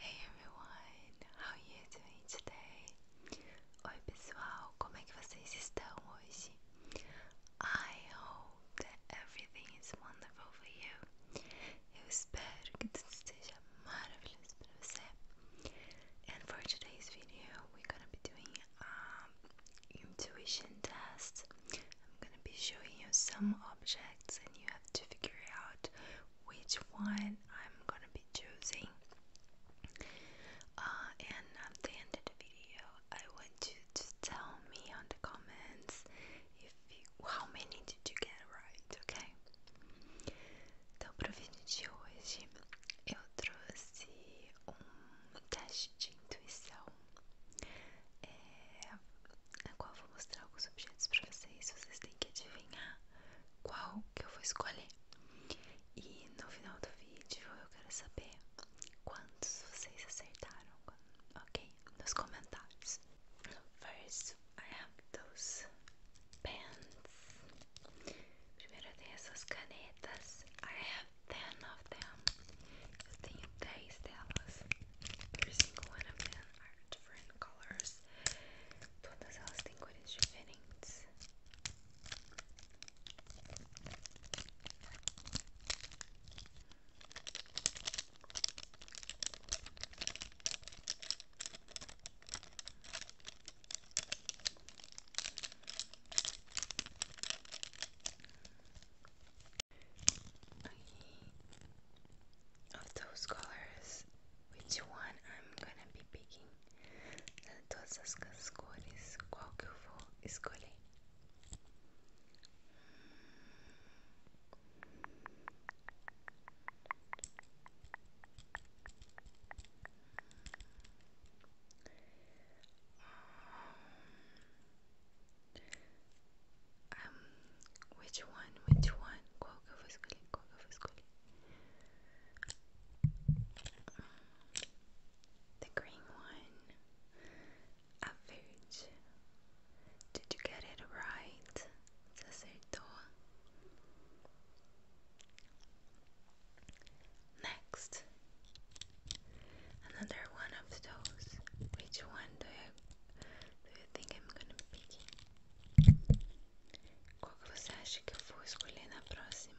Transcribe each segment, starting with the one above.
Hey everyone, how are you doing today? Oi pessoal, como é que vocês estão hoje? I hope that everything is wonderful for you. Eu espero que tudo esteja maravilhoso para você. And for today's video, we're gonna be doing um intuition test. I'm gonna be showing you some objects and you have to figure out which one I'm gonna be choosing. Uh, and at the end of the video, I want you to tell me on the comments if how many did you get right, ok? Então, para o vídeo de hoje, eu trouxe um teste de mostrar alguns objetos pra vocês. Vocês têm que adivinhar qual que eu vou escolher. E no final do vídeo eu quero saber quantos vocês acertaram, ok? Nos comentários. First, I have those pens. Primeiro eu tenho essas canetas. I have ten of them. Eu tenho dez delas. Every single one are different colors. Todas elas têm cores diferentes. Of those colors, which one I'm gonna be picking? De todas cores, qual que eu vou escolher? Mm. Um, which one? Which one? Coca Fuscoli, Coca Fuscoli. The green one. Average. Did you get it right? Se acertou. Next, Another one of those. Which one do you, think I'm gonna pick? Qual que você acha que eu vou escolher na próxima?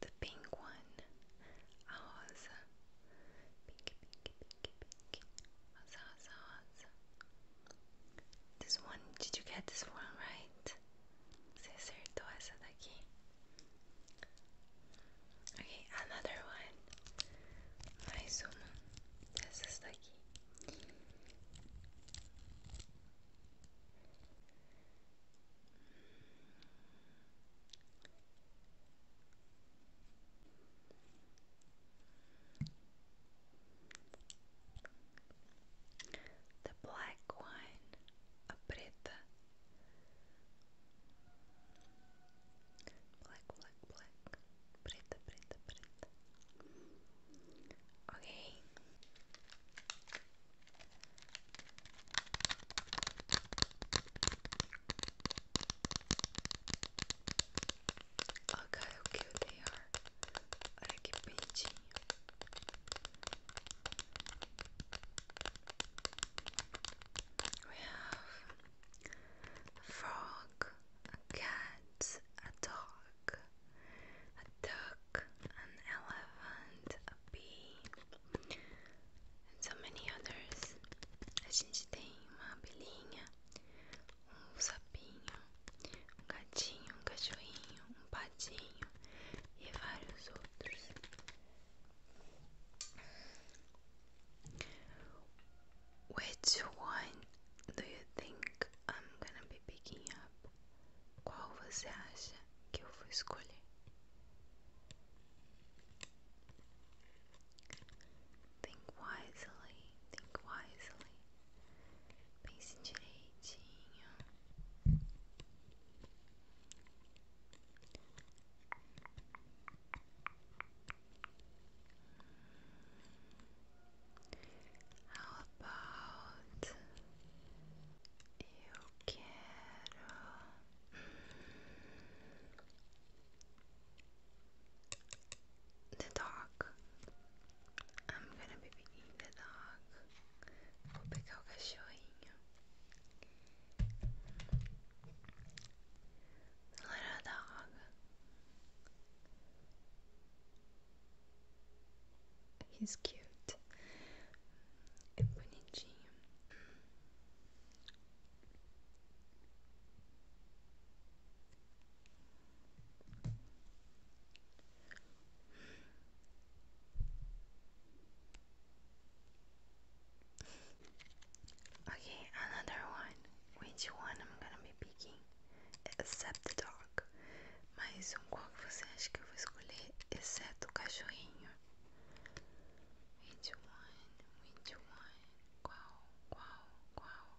The pink one, rosa. Pink, pink, pink, pink. Rosa, rosa, rosa. This one, did you get this one right? Se acertou essa Okay, another one. Mais uma dessas the black wine, a preta. Black, black, black. Preta, preta, preta. Okay, Olha how they are. Olha que bonitinho. We have a frog, a cat, a dog, a duck an elephant, a bee, and so many others. A gente tem uma abelhinha, um sapinho, um gatinho, um cachorrinho, um patinho e vários outros. Which one do you think I'm gonna be picking up? Qual você acha que eu vou escolher? Think wisely, think wisely. Pense direitinho. How about eu quero the dog? I'm gonna be picking the dog. Vou pegar o cachorrinho. Little dog. He's cute. Okay, another one. Which one I'm gonna be picking? except the dog. Mas um qual que você acha que eu vou escolher, exceto o cachorrinho? Which one? qual, qual, qual?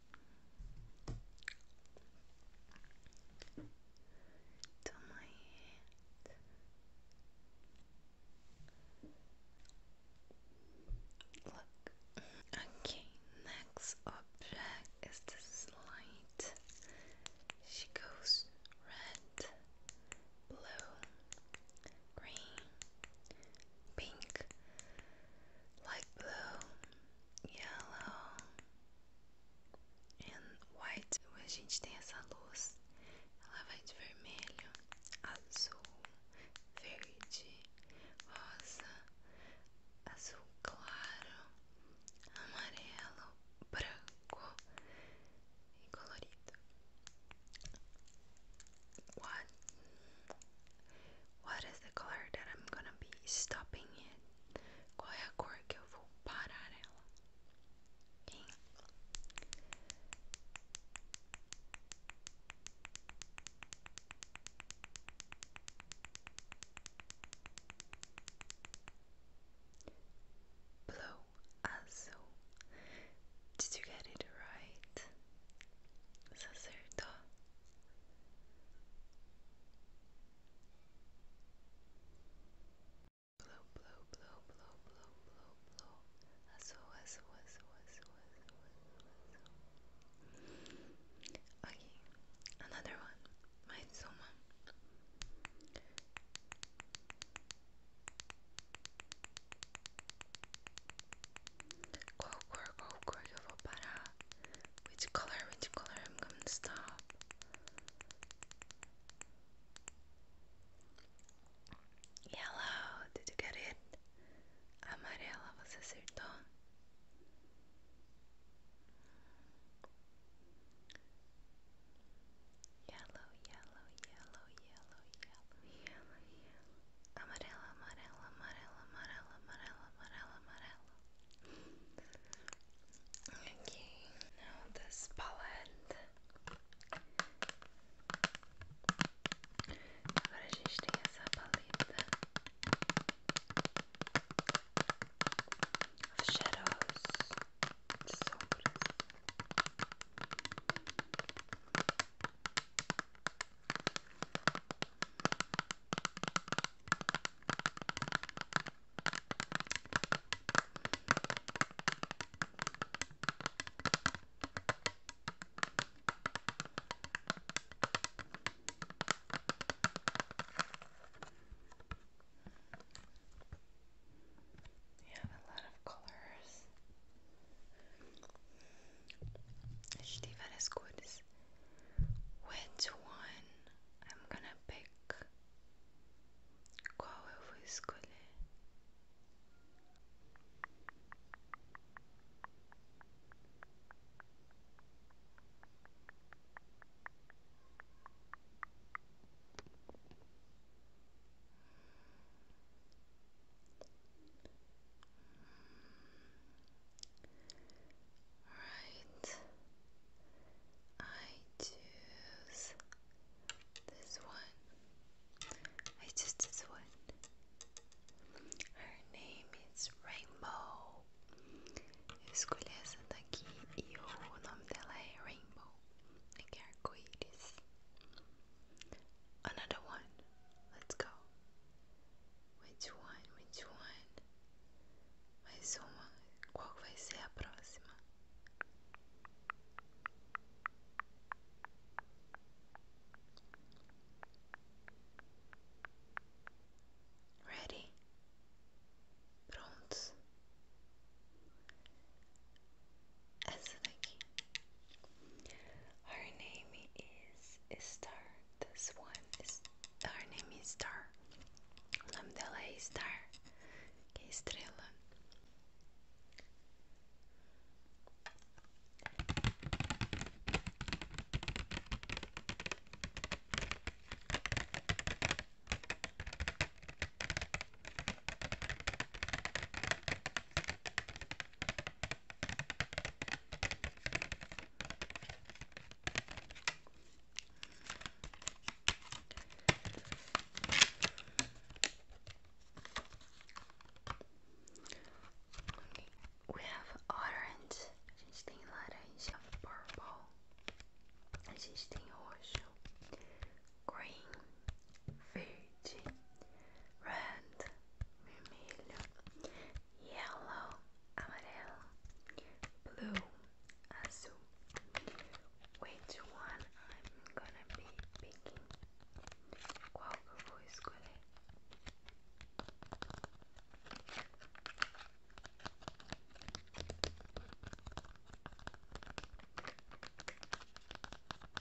Okay, next object is this light. She goes red, blue, green, pink, light blue, yellow and white. A gente tem essa luz, ela vai de vermelho, azul, verde, rosa, azul claro, amarelo, branco e colorido. Quatro, what is the color that I'm gonna be stopping in? Qual cor eu vou parar ela? Blue, azul. Did you get it right? Sacerdote. Blow, blow, blow, blow, blow, blow, blow. Azul, Okay, another one. Mais uma. Quote, quote, quote, quote, eu vou parar. Which color, which color I'm gonna stop? Yellow, did you get it? Amarela, você acertou? Yellow, yellow, yellow, yellow, yellow, yellow, yellow amarelo, amarelo, amarelo, amarelo, amarelo, amarelo, amarelo. Okay, now this palette. Agora a gente tem essa paleta of shadows, we have a lot of colors. Estiveras cores. Which one I'm gonna pick? Qual eu vou escolher? Right. I choose this one. I choose this one. Her name is Rainbow. escolhi essa daqui e o nome dela é Rainbow. É arco-íris. Another one. Let's go. Which one? Which one? Mais uma. Qual vai ser a próxima? Ready? Prontos? Essa daqui. Her name is Star. This one is her name is Star. Lambda is Star. estrela we have orange, vocês têm laranja, purple, vocês têm roxo, green, verde, red, vermelho, yellow, amarelo, blue, azul. Which one I'm gonna be picking? Qual que eu vou escolher?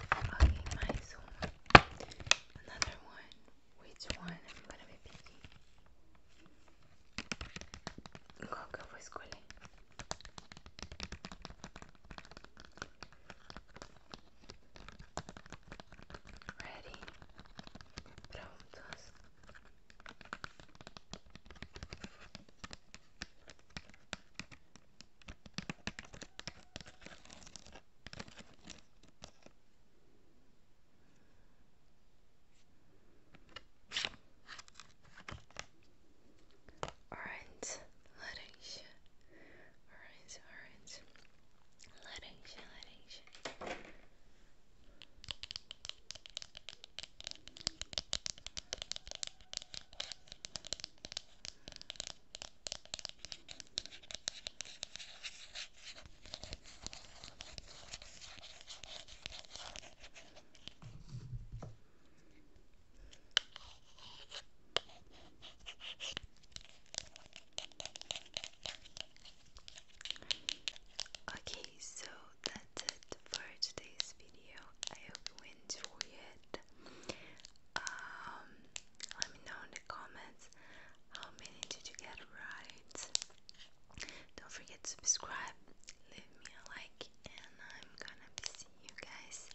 Okay, my Zoom. Another one. Which one i gonna be picking? Qual que eu Ready? Prontos? Orange, laranja, orange, orange laranja, laranja. Okay, so that's it for today's video. I hope you enjoyed. it. Um, let me know in the comments how many did you get right. Don't forget to subscribe, leave me a like, and I'm gonna be seeing you guys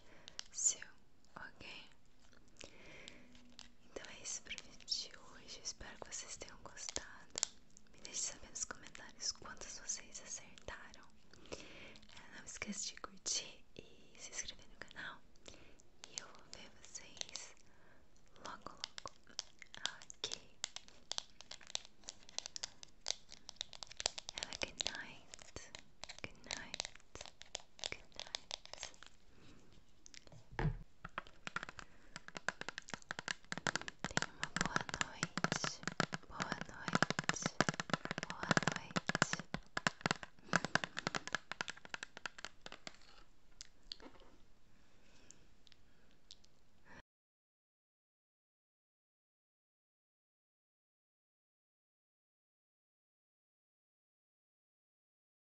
soon. Okay. Então é isso para o vídeo de hoje. Espero que vocês tenham gostado. Me deixe saber nos comentários quantas vocês acertaram. É, não esqueça de curtir e se inscrever no canal. E eu vou ver vocês logo, logo. Ok. Have a good night. Good night. Good night. Tenha uma boa noite, boa noite, boa noite.